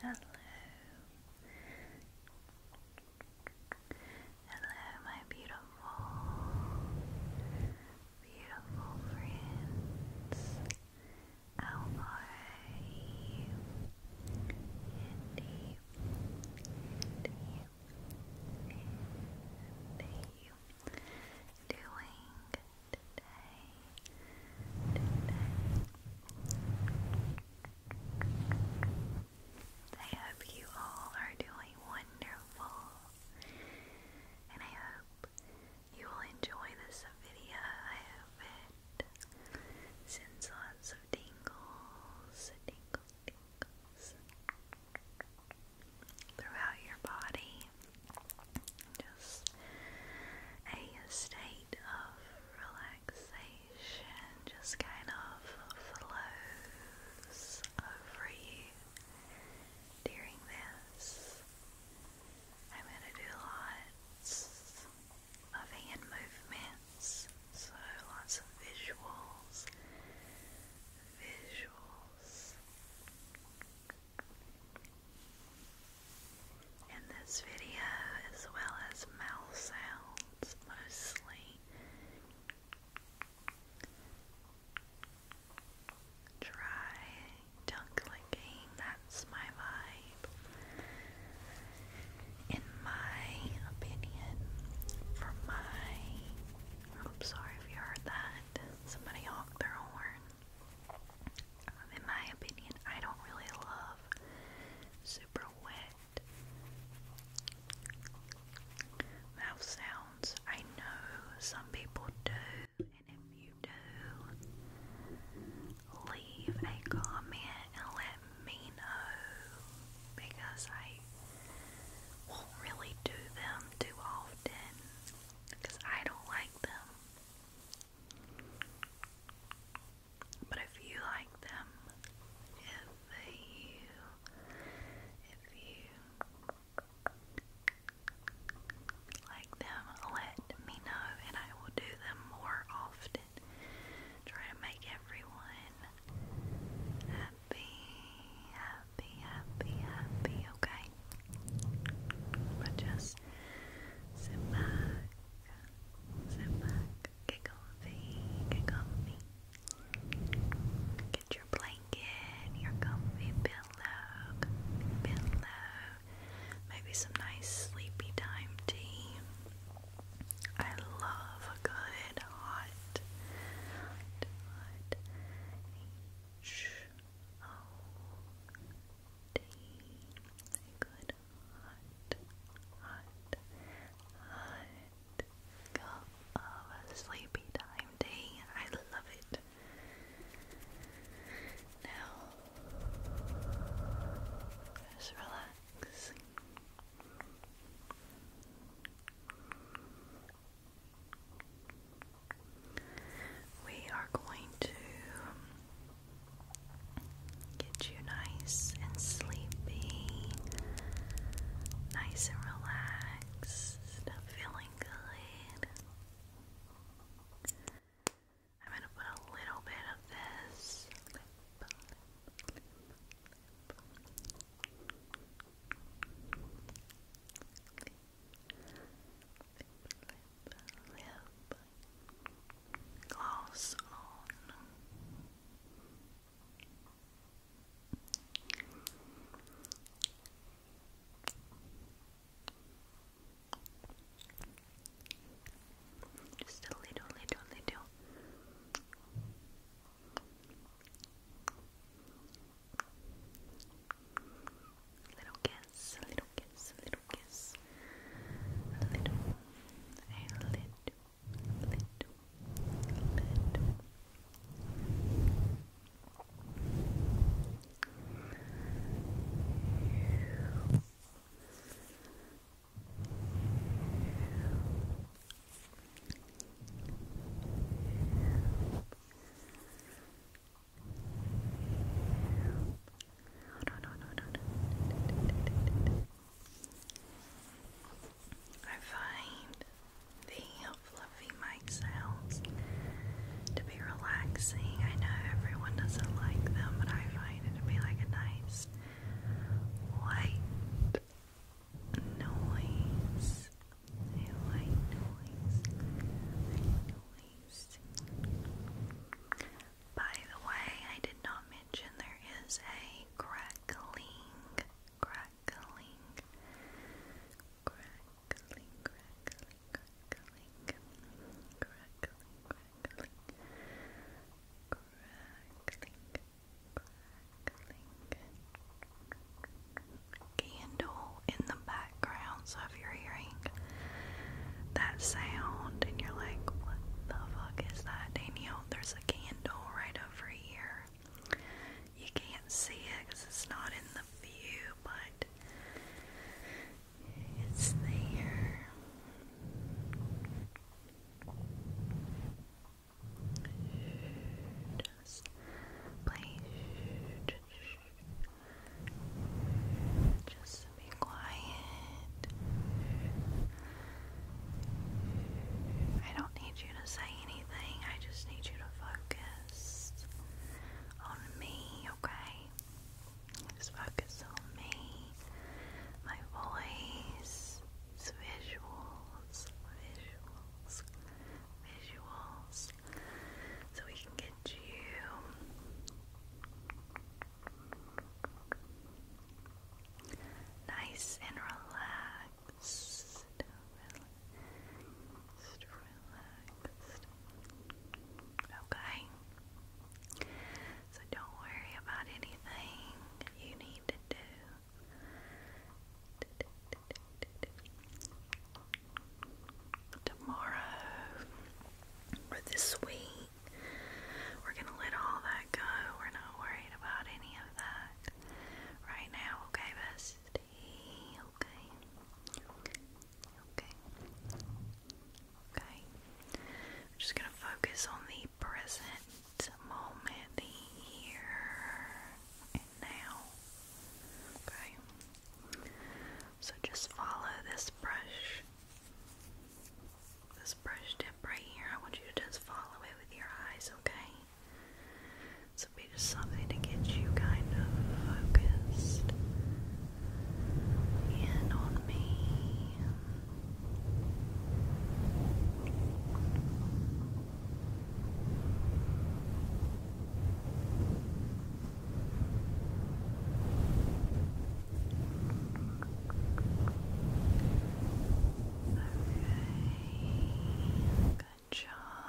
hello, hello, my beautiful, beautiful friends. How are you? Indeed, indeed, indeed. Doing today, today. I hope you all are doing wonderful, and I hope you will enjoy this video. I hope it sends lots of tingles, throughout your body. Just a state of relaxation just kind of flows over you during this. I'm going to do lots of hand movements, so lots of visuals. Visuals. In this video, as well as mouth sounds mostly, dry tongue clicking, that's my vibe. In my opinion, for my. I'm sorry if you heard that. Somebody honk their horn. Um, in my opinion, I don't really love super wet mouth sounds. I know some people do, and if you do, leave a comment and let me know because I won't really do them too often because I don't like them. But if you like them, if you, if you like them, let me know and I will do them more often. Try to make everyone happy, happy, happy, happy, okay? But just sit back, sit back, get comfy, get comfy. Get your blanket, your comfy pillow, pillow. Maybe some nice sleepy time tea. I love a good hot, hot, hot O D. Good. Hot, hot, hot cup of sleepy time tea. I love it. Now, just relax. We are going to get you nice and sleepy, nice and relaxed, feeling good. I'm going to put a little bit of this lip gloss on. Just a little, little, little Little kiss, a little kiss, a little kiss. A little, a little, little, little. I find the fluffy mic sounds to be relaxing. I know everyone doesn't like them, but I find it to be like a nice, light noise by the way, I did not mention there is a crackling, crackling, crackling, crackling, crackling, crackling, crackling, crackling, crackling, candle in the background. So if you're hearing that sound and you're like, what the fuck is that, Danielle? There's a candle right over here. You can't see it because it's not in the view, but it's there just play just be quiet I don't need you to say anything I just need you to focus on me okay just focus on me my voice visuals visuals visuals so we can get you nice and relaxed. Okay. So don't worry about anything you need to do. Tomorrow or this week, we're going to let all that go. We're not worried about any of that right now, okay, bestie? Okay. Okay. Okay. just going to focus on the present moment, here now. Okay? So just follow this brush, this brush tip right here. I want you to just follow it with your eyes, okay? This be just something to get you kind of focused in on me. Alright, good job.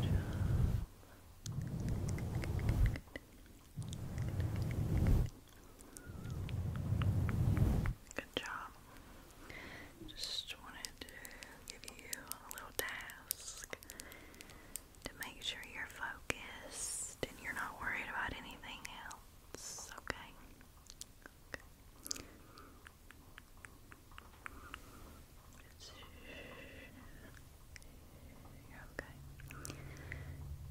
Good job. good. Good job. Just wanted to give you a little task to make sure you're focused and you're not worried about anything else, okay? okay. okay.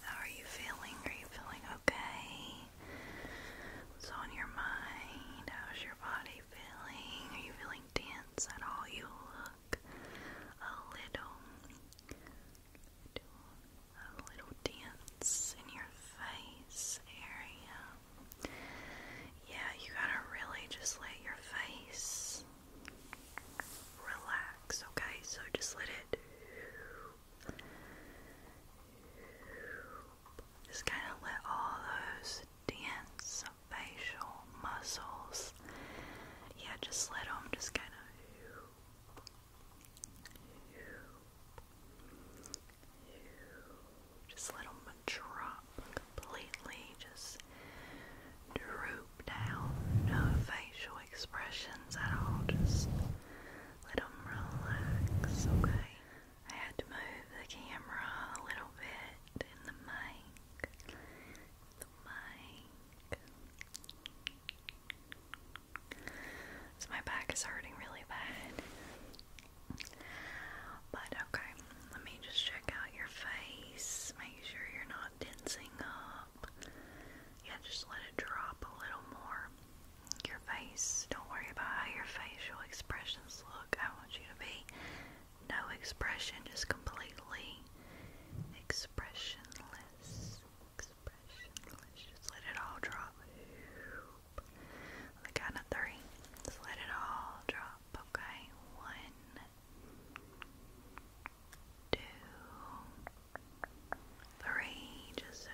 How are you feeling? Are you feeling okay? What's on your mind? How's your body feeling? Are you feeling tense at all? You look a little, a little tense in your face area. Yeah, you gotta really just let your face relax, okay? So just let it just kind of let all those dense facial muscles, yeah, just let them just kind of just let them drop completely, just droop down, no facial expressions at all, just let them relax, okay? I had to move the camera a little bit in the mic. The mic. So my back is hurting really bad. But okay, let me just check out your face. Make sure you're not tensing up. Yeah, just let it drop a little more your face. Don't worry about how your facial expressions look. I want you to be no expression, just completely expressionless. Expressionless. Just let it all drop. the count of three, just let it all drop. Okay, one, two. Three, just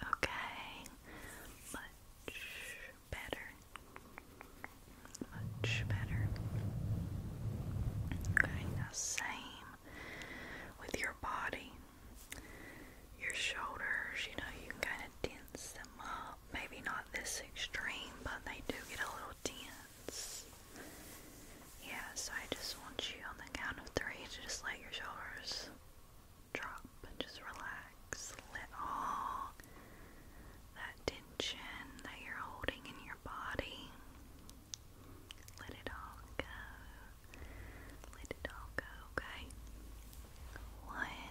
Okay. Much better. Much better. Okay, now same with your body. Your shoulders, you know, you can kind of dense them up. Maybe not this extreme, but they do get a little tense sense. Yeah, so I just want you on the count of three to just let your shoulders drop and just relax. Let all that tension that you're holding in your body, let it all go. Let it all go, okay? One,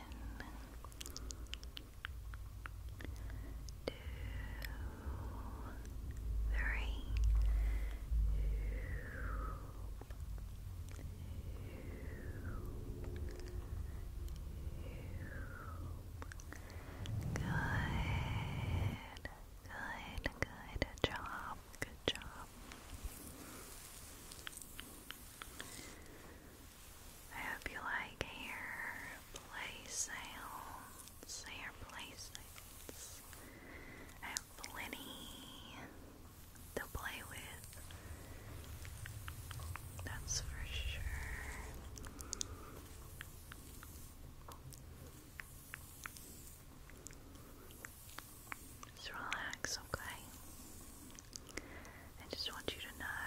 two, three. Good, good, good job, good job. I hope you like hair play sounds cycles, hair I have plenty to play with. That's for sure. Just relax, okay? I just want you to know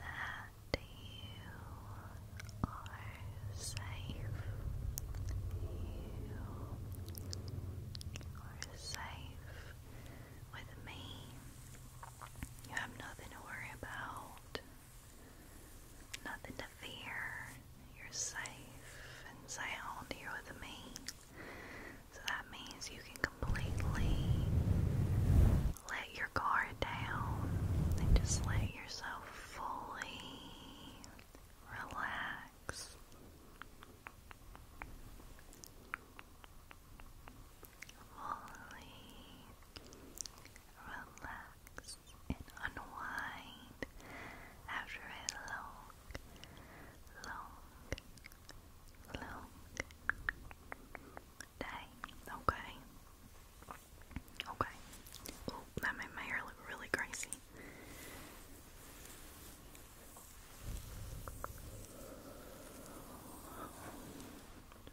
that you are safe. You are safe with me. You have nothing to worry about, nothing to fear. You're safe and sound here with me. So that means you can completely let your guard down and just let yourself fully relax. Fully relax and unwind after a long, long, long day. Okay. Okay. Oh, that made my hair look really crazy.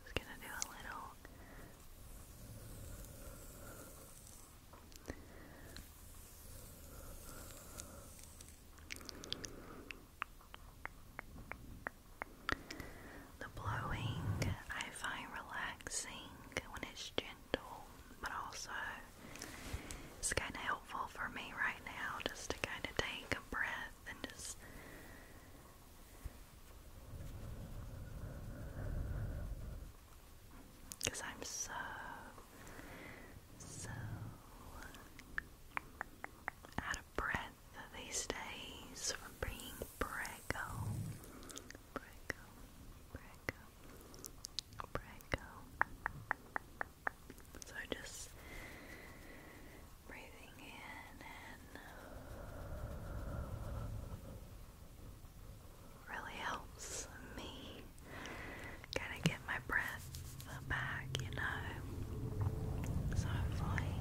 Just gonna do a little. Okay. The blowing I find relaxing when it's gentle, but also it's kind of helpful for me right now just to kind of take a breath and just. Because I'm so, so out of breath these days from being prego Braco, So just breathing in and uh, really helps me kind of get my breath back, you know. So hopefully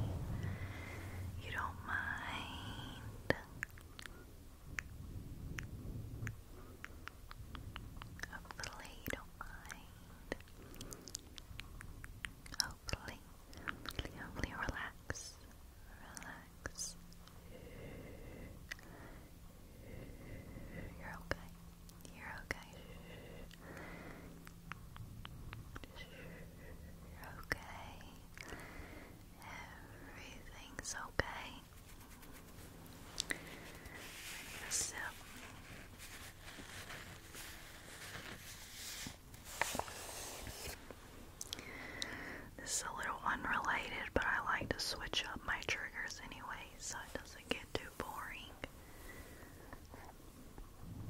you don't mind Hopefully, you mind. Hopefully, hopefully, hopefully, relax. Relax. You're okay. You're okay. You're okay. Everything's okay. i This is a little unrelated, but I like to switch up my triggers anyway so it doesn't get too boring.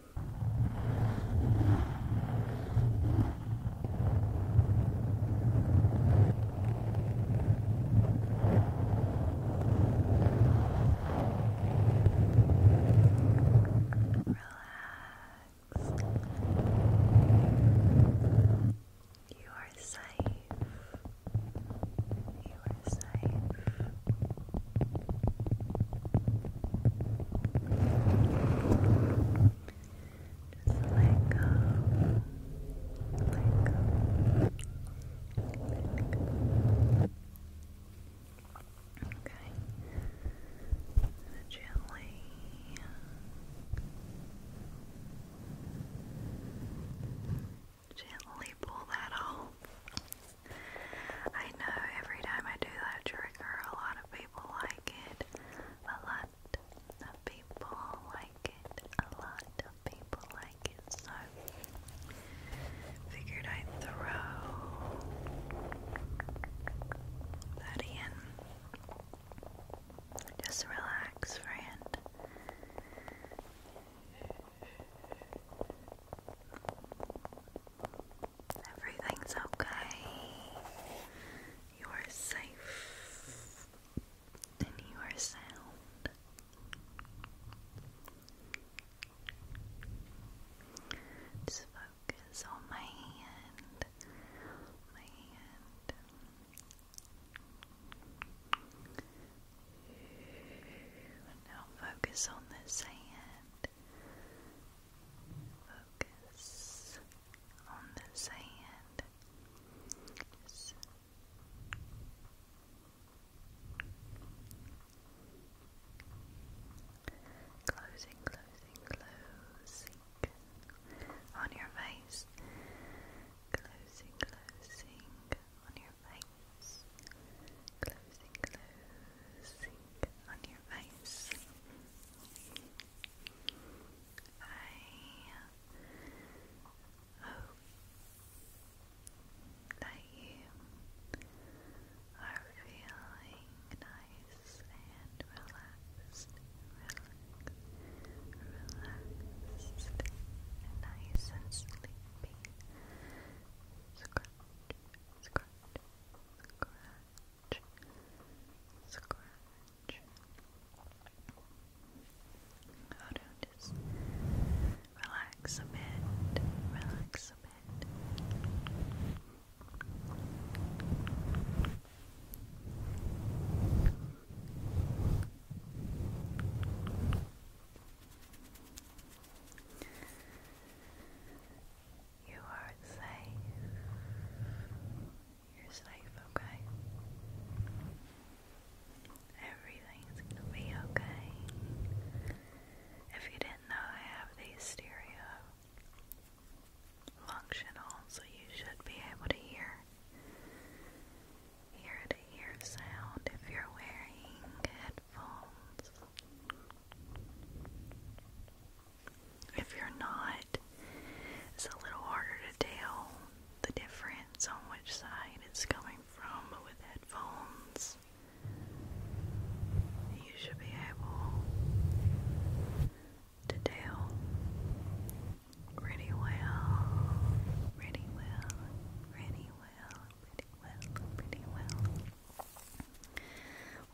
You are safe. You are safe. Just let go. Okay. Gently. Gently pull that off. I know every time I do that trigger, a lot of people like it. A lot of people like it. A lot of people like it. So figured I'd throw that in. Just relax, friend. Everything's okay. You are safe and you are sound. Just focus on my hand. My hand. Now focus on this hand. Focus on the sand. Closing, closing, closing on your face. Closing, closing on your face. Closing, closing sink on your face. I hope that you are feeling nice and relaxed, relaxed, relaxed, nice and sleepy. Scratch, scratch, scratch scratch. How to just relax a bit, relax a bit. You are safe. You're safe, okay? Everything's gonna be okay. If you didn't know, I have these stereo functional, so you should be able to hear ear to sound if you're wearing headphones. If you're not, it's a little harder to tell the difference on which side it's coming from, but with headphones, you should be able to tell pretty well, pretty well, pretty well, pretty well, pretty well.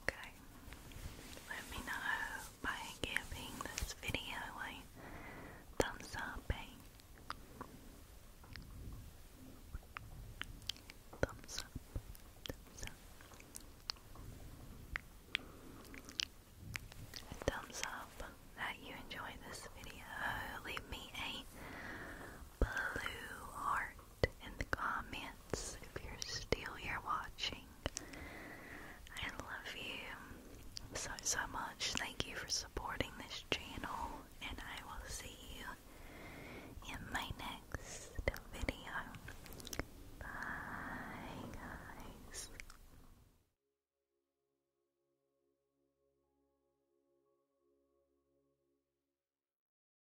Okay, let me know by giving this video a eh? thumbs up, Thumbs up, thumbs up that you enjoyed this video. Leave me a blue heart in the comments if you're still here watching. I love you so, so much. Thank you for supporting this channel, and I will see you in my next video. Bye, guys.